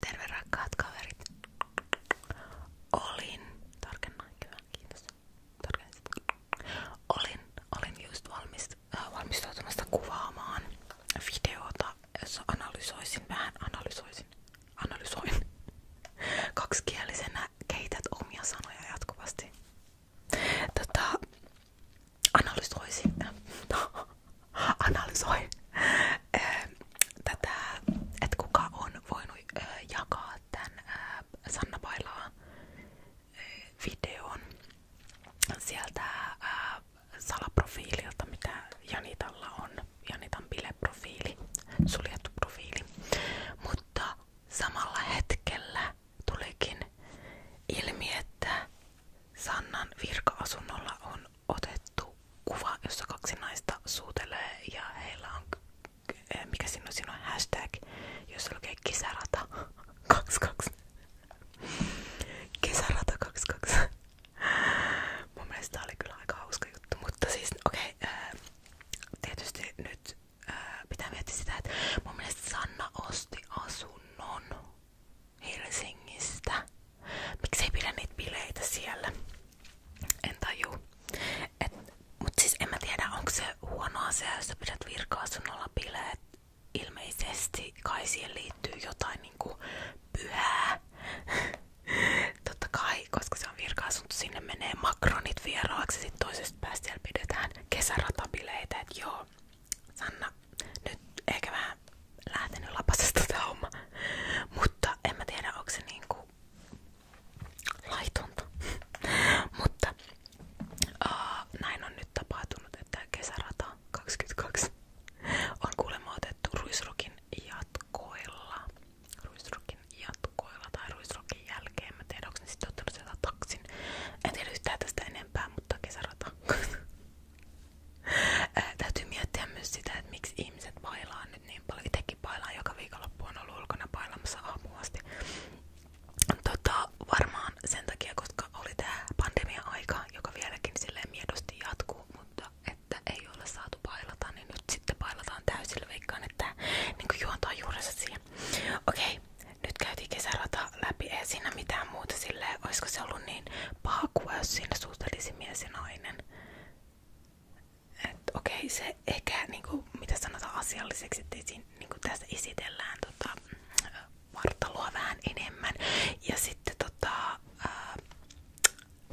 Terve rakkaat kaverit. Olin, tarkennan kyllä, kiitos. Tarkensin. Olin, olin just valmis, äh, valmistautumassa kuvaamaan videota, jossa analysoisin, vähän analysoisin, analysoin kaksikielisenä keität omia sanoja jatkuvasti. Tota, analysoisin, analysoi eh, että kuka on voinut eh, jakaa tämän eh, Sanna Pailaa videon sieltä äh, salaprofiililta, mitä Janitalla on. Janitan bileprofiili, suljettu profiili. Mutta samalla hetkellä tulikin ilmi, että Sannan virka-asunnolla on otettu kuva, jossa kaksi naista suutelee ja heillä on, eh, mikä siinä on, siinä on hashtag, jossa lukee kisarata 22. Kesärata 22. Mun mielestä tää oli kyllä aika hauska juttu, mutta siis okei, okay, eh, tietysti nyt ää, eh, pitää miettiä sitä, että mun mielestä Sanna osti asunnon Helsingistä. Miksei pidä niitä bileitä siellä? En tajuu. Et, mut siis en mä tiedä, onko se huonoa se, jos sä pidät virka-asunnolla bileet. Ilmeisesti kai siihen liittyy jotain niinku pyhää. Totta kai, koska se on virka-asunto, sinne menee makronit vieraaksi. Sitten toisesta päästä siellä pidetään kesäratabileitä. Et joo, Sanna, nyt ehkä vähän lähtenyt lapasesta tämä homma. Mutta en mä tiedä, onko se niinku laitonta. Mutta uh, näin on nyt tapahtunut, että kesärata 22 on kuulemma otettu ruisrokin jatkoilla. Ruisrokin jatkoilla tai ruisrokin jälkeen. Mä tiedän, onko ne sitten ottanut sieltä taksin. En tiedä yhtään tästä enempää, mutta kesärata. Ää, täytyy miettiä myös sitä, että miksi ihmiset pailaa nyt niin paljon. Itekin pailaan joka viikonloppu on ollut ulkona pailamassa aamuasti. Tota, varmaan sen takia, koska oli tää pandemia-aika, joka vieläkin silleen miedosti jatkuu, mutta että ei ole saatu pailata, niin nyt sitten pailataan täysillä. Veikkaan, että niin juontaa juurensa siihen. Okei, nyt käytiin kesärata läpi, ei siinä mitään muuta silleen, olisiko se ollut niin paha kuva, jos siinä suustelisi mies ja nainen. Että okei, se ehkä, niinku, mitä sanotaan asialliseksi, että siinä, niinku, tässä esitellään tota, vartaloa vähän enemmän. Ja sitten tota, ää,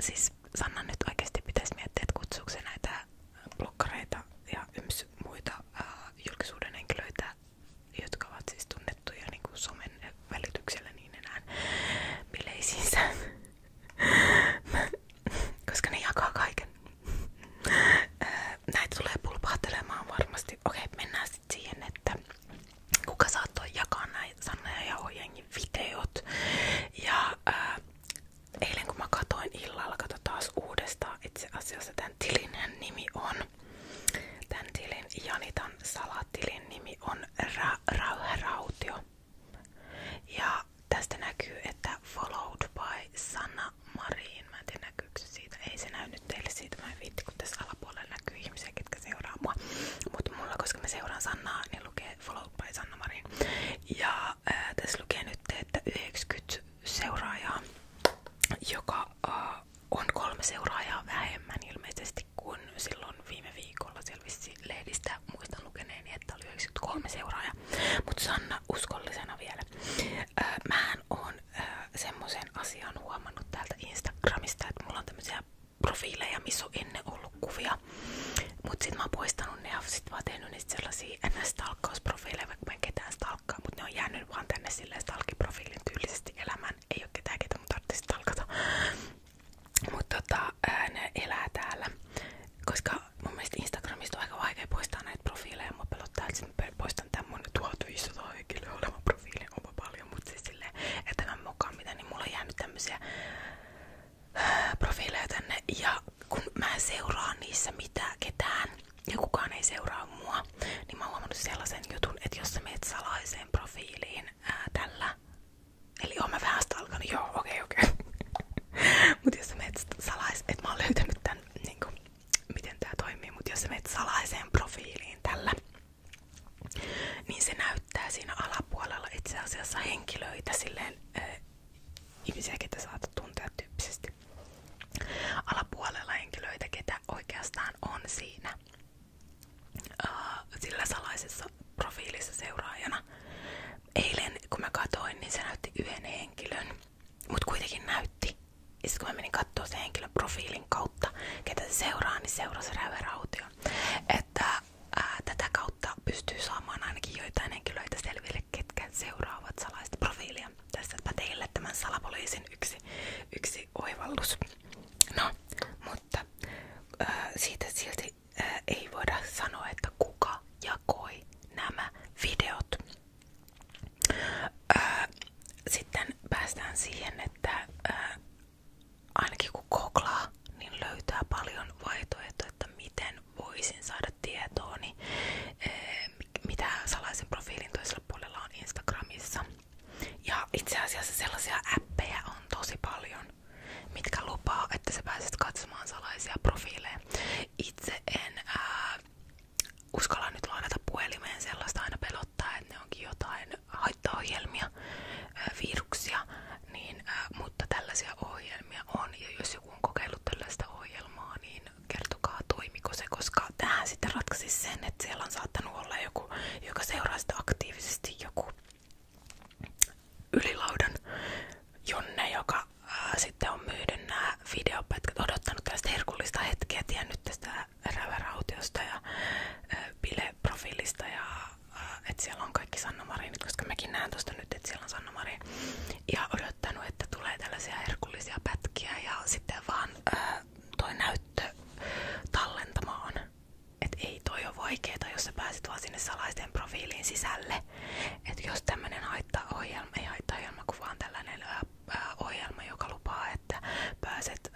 siis Sanna nyt oikeasti pitäisi miettiä, että kutsuuko se näitä blokkareita ja yms muita ää, julkisuuden henkilöitä, jotka ovat siis tunnettuja niinku, somen välityksellä niin enää bileisiinsä koska ne jakaa kaiken. Näitä tulee pulpahtelemaan varmasti. Okei, mennään sitten siihen, että kuka saattoi jakaa näitä Sanna ja Jauhojengin eilen kun mä illalla, kato taas uudestaan itse asiassa tämän tilin nimi on, tämän tilin Janitan salatilin nimi on Ra Rauharautio. Ja tästä näkyy, että Followed by Sanna Marin. Mä en tiedä näkyykö se siitä. Ei se näy nyt teille siitä. Mä en viitti, kun tässä alapuolella näkyy ihmisiä, ketkä seuraa mua. Mutta mulla, koska mä seuraan Sannaa, niin lukee Followed by Sanna Marin. Ja ää, äh, tässä lukee nyt, että 90 seuraajaa, joka ää, äh, on kolme seuraajaa vähemmän ilmeisesti hirveästi, kun silloin viime viikolla selvisi lehdistä muistan lukeneeni, että oli 93 seuraajaa, mutta Sanna uskollisena vielä. Mä mähän on semmoisen asian huomannut täältä Instagramista, että mulla on tämmöisiä profiileja, missä on ennen ollut kuvia, mutta sit mä oon poistanut ne ja sit mä oon tehnyt niistä sellaisia ns-stalkkausprofiileja, vaikka mä en ketään stalkkaa, mutta ne on jäänyt vaan tänne silleen stalkiprofiilin tyylisesti elämään. Ei oo ketään, ketä mun tarvitsisi stalkata. Mutta tota, ne elää täällä. Koska mun mielestä Instagramista on aika vaikea poistaa näitä profiileja. Mua pelottaa, että mä poistan tämän mun 1500 henkilöä olevan profiilin. Onpa paljon, mutta siis silleen, että tämän mukaan mitä, niin mulla on jäänyt tämmösiä profiileja tänne. Ja kun mä en seuraa niissä mitään ketään ja kukaan ei seuraa mua, niin mä oon huomannut sellaisen jutun, että jos sä meet salaiseen profiiliin ää, tällä Eli oon mä vähän sitä alkanut, joo, okei, okay, okei. Okay. mut jos sä menet salais, et mä oon löytänyt tän, niinku, miten tää toimii, mut jos sä menet salaiseen profiiliin tällä, niin se näyttää siinä alapuolella itse asiassa henkilöitä silleen, äh, ihmisiä, ketä saatat tuntea tyyppisesti. Alapuolella henkilöitä, ketä oikeastaan on siinä Äh, sillä salaisessa profiilissa seuraajana. Eilen kun mä katoin, niin se näytti yhden henkilön, mut kuitenkin näytti. Ja sit kun mä menin kattoo sen henkilön profiilin kautta, ketä se seuraa, niin seurasi Räve Raution. Että ää, äh, tätä kautta pystyy saamaan ainakin joitain henkilöitä selville, ketkä seuraavat salaista profiilia. Tässäpä teille tämän salapoliisin yksi, yksi oivallus. No, mutta ää, äh, siitä silti Äh, ei voida sanoa, että kuka jakoi nämä videot. Äh, sitten päästään siihen, että äh, ainakin kun googlaa, niin löytää paljon vaihtoehtoja, että miten voisin saada tietoa, mitä salaisen profiilin on Instagramissa. Ja itse asiassa sellaisia appeja on tosi paljon mitkä lupaa, että sä pääset katsomaan salaisia profiileja. Itse en uskalla nyt lainata puhelimeen, sellaista aina pelottaa, että ne onkin jotain haittaohjelmia, viruksia, niin, mutta tällaisia ohjelmia on. jos joku on kokeillut tällaista ohjelmaa, niin kertokaa toimiko se, koska tähän sitten ratkaisi sen, että siellä on saattanut olla joku, joka seuraa sitä aktiivisesti joku ylilaudan Jonne, joka ää, äh, sitten on myynyt nämä videopätkät, odottanut tästä herkullista hetkeä, tiennyt tästä rävärautiosta ja ää, äh, profiilista ja ää, äh, että siellä on kaikki Sanna Marinit, koska mäkin näen tuosta nyt, että siellä on Sanna Marin. Ja odottanut, että tulee tällaisia herkullisia pätkiä ja sitten vaan ää, toi näyttö tallentamaan että ei toi ole vaikeeta, jos sä pääset vaan sinne salaisten profiiliin sisälle. että jos tämmönen haittaohjelma, ei haittaohjelma, kun vaan tällainen ää, ohjelma, joka lupaa, että pääset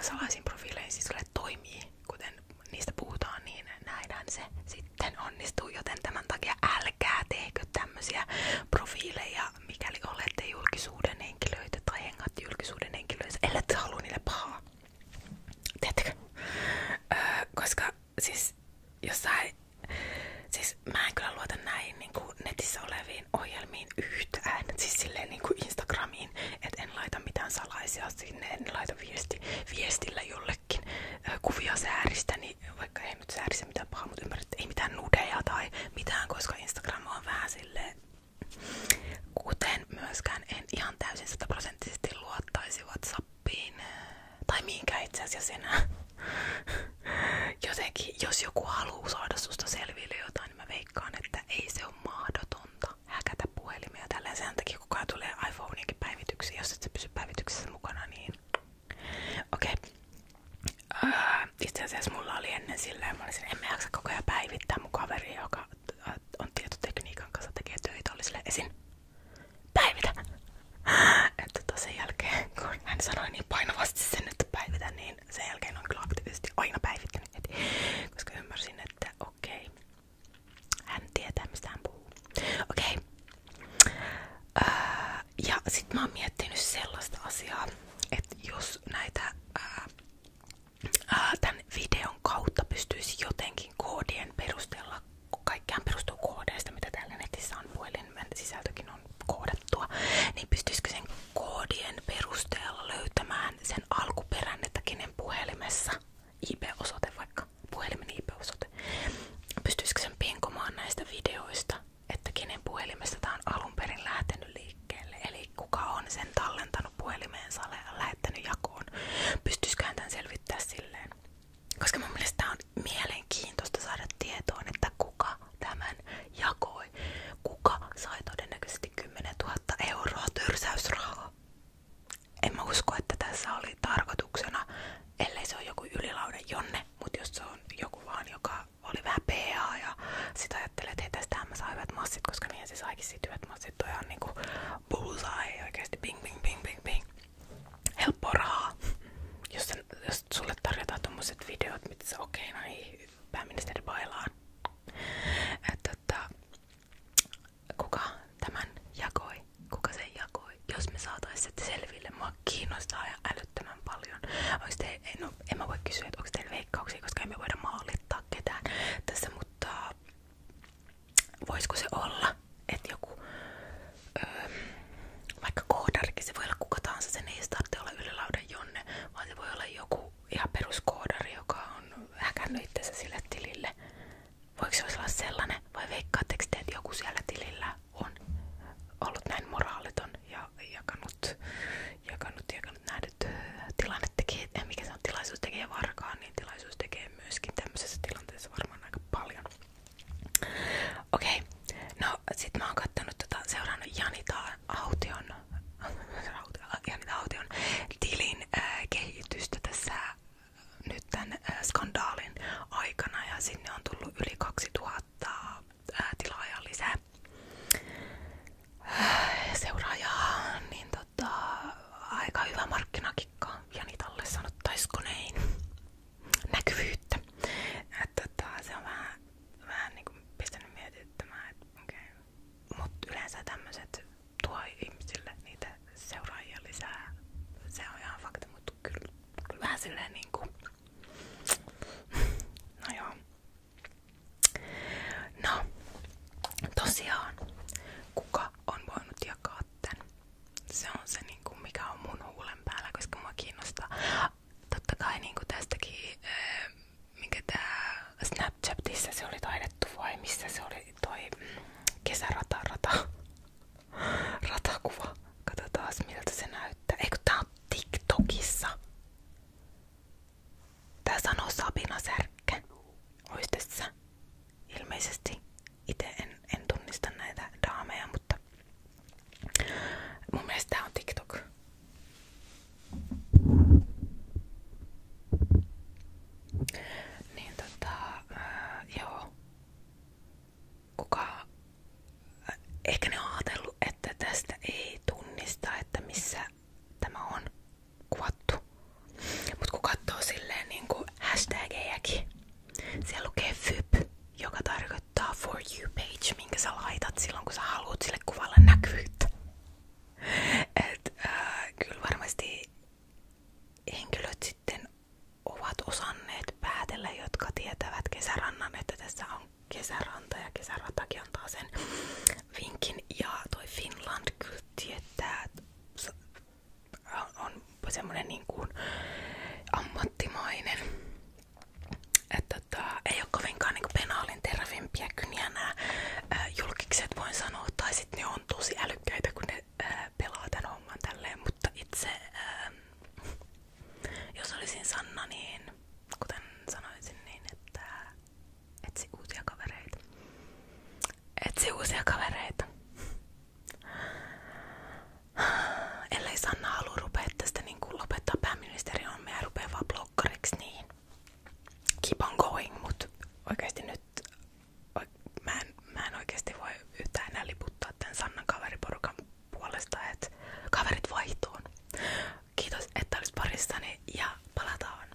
salaisiin profiileihin sisälle toimii, kuten niistä puhutaan, niin näinhän se sitten onnistuu. Joten tämän takia älkää tehkö tämmöisiä profiileja, mikäli olette julkisuuden henkilöitä tai hengat julkisuuden henkilöitä, ellei halua niille pahaa. Tiedättekö? Öö, koska siis jossain, siis mä en kyllä luota näihin niin kuin netissä oleviin ohjelmiin yhtään, siis silleen niin kuin Instagramiin, että en laita mitään salaisia sinne, en laita viesti, viestillä jollekin öö, kuvia sääristä, niin vaikka ei nyt säärissä mitään pahaa, mutta ymmärrät, ei mitään nudeja tai mitään, koska Instagram on vähän silleen Kuten myöskään en ihan täysin sataprosenttisesti luottaisi WhatsAppiin eh, tai minkä itse asiassa enää. Jotenkin, jos joku haluaa saada susta selville jotain, niin mä veikkaan, että ei se ole mahdotonta häkätä puhelimia. Tällä sen takia kukaan tulee iPhoneinkin päivityksiin, jos et sä pysy päivityksessä mukana, niin okei. Okay. Uh, äh, itse asiassa mulla oli ennen silleen, mä olisin, en mä jaksa koko ajan päivittää mun kaveria, joka äh, on tietotekniikan kanssa tekee töitä, oli sille esin päivitä. Että tota sen jälkeen, kun hän sanoi niin painavasti sen, että päivitä, niin sen jälkeen on kyllä aktiivisesti aina päivittänyt heti, koska ymmärsin, että okei, hän tietää mistä hän puhuu. Okei. Okay. Ää, ja sit mä oon miettinyt sellaista asiaa, että jos näitä Äh, tämän videon kautta pystyisi jotenkin koodien perusteella, kaikkiaan perustuu koodeista, mitä täällä netissä on, puhelimen sisältökin on koodattua, niin pystyisikö sen koodien perusteella löytämään sen alkuperän, että puhelimessa IP-osoite vaikka, puhelimen IP-osoite, pystyisikö sen pinkomaan näistä videoista, että kenen puhelimesta tämä on alun perin lähtenyt liikkeelle. Eli kuka on sen tallentanut puhelimeensa ja lähettänyt jakoon. Pystyisiköhän tämän selvittää silleen? Koska mun mielestä tää on mielenkiintoista saada tietoon, että kuka tämän jakoi. Kuka sai todennäköisesti 10 000 euroa tyrsäysrahaa. En mä usko, että tässä oli tarkoituksena, ellei se ole joku ylilaude jonne, mutta jos se on joku vaan, joka oli vähän PA ja sit ajattelee, että hei tästähän mä saan hyvät massit, koska niihin se saikin sit hyvät massit. Toi on niinku bullseye, oikeasti ping ping ping ping ping. Helppo rahaa. Jos, sen, jos sulle tarjotaan tommoset videot, mitä sä okei, okay, no niin, pääministeri bailaan. Että, tota, että, kuka tämän jakoi? Kuka sen jakoi? Jos me saatais selville, mua kiinnostaa ja älyttömän paljon. Onks te, no, en mä voi kysyä, että onko teillä veikkauksia, koska emme voida maalittaa ketään tässä, mutta voisiko se olla, että joku öö, vaikka koodarikin, se voi olla kuka tahansa, sen ei tarvitse olla ylilaudan jonne, vaan se voi olla joku ihan peruskoodari, joka on häkännyt itsensä sille tilille. Voiko se olla sellainen, vai veikkaatteko te, että joku siellä tilillä on ollut näin moraaliton ja jakanut, jakanut, jakanut nähdyt tilanne tekee, mikä se on tilaisuus tekee varkaan niin tilaisuus tekee myöskin tämmöisessä tilanteessa varmaan aika paljon. Okei, okay. no sit mä oon kattonut tota, seurannut Janita Aution, Janita Aution tilin äh, kehitystä tässä äh, nyt tämän äh, skandaalin aikana ja sinne on tullut yli 2000 äh, tilaajaa lisää äh, seuraajaa, niin tota, aika hyvä markkinakikka ja Jani Talle sanottaisiko näin näkyvyyttä. Että tota, se on vähän, vähän kuin niinku pistänyt mietittämään, että okei. Okay. Mut yleensä tämmöset tuo ihmisille niitä seuraajia lisää. Se on ihan fakta, mutta kyllä, vähän silleen niinku... No joo. No, tosiaan kuka on voinut jakaa tän. Se on se, niin kuin, mikä on mun huulen päällä, koska mua kiinnostaa. Totta kai niin kuin tästäkin, äh, mikä tää Snapchatissa se oli taidettu vai missä se oli toi mm, kesärata, rata, ratakuva. Katsotaan miltä se näyttää. Eikö tää on TikTokissa? Tää sanoo Sabina Särkkä. Muistissa. Ilmeisesti itse en, en näitä daameja, mutta mun on TikTok. Niin tota, äh, joo. Kuka, äh, ehkä ne on ajatellut, että tästä ei tunnista, että missä tämä on kuvattu. Mut kun katsoo silleen niinku hashtagejäkin, siellä lukee FYP, joka tarkoittaa For You page, minkä sä laitat silloin kun sä haluat sille kuvalle näkyvyyttä. Et äh, kyllä varmasti henkilöt sitten ovat osanneet päätellä, jotka tietävät kesärannan, että tässä on kesäranta ja kesäratakin antaa sen vinkin. Ja toi Finland kyllä tietää on semmonen niin kuin ammattimainen. Että tota, ei ole kovinkaan niin penaalin terävimpiä kyniä nämä ää, julkikset voin sanoa, tai sitten ne on tosi älykkäitä kun ne ää, pelaa tän homman tälleen, mutta itse jos olisin Sanna, niin kuten sanoisin niin, että Etsi uusia kavereita. Etsi uusia kavereita. Ellei Sanna halua rupea tästä niin kuin lopettaa pääministeri on ja rupea vaan blokkariksi, niin keep on going, mut oikeesti nyt mä en, mä en oikeesti voi yhtään enää liputtaa tän Sannan kaveriporukan puolesta, että kaverit vaihtuun. Kiitos, että olis parissani ja palataan.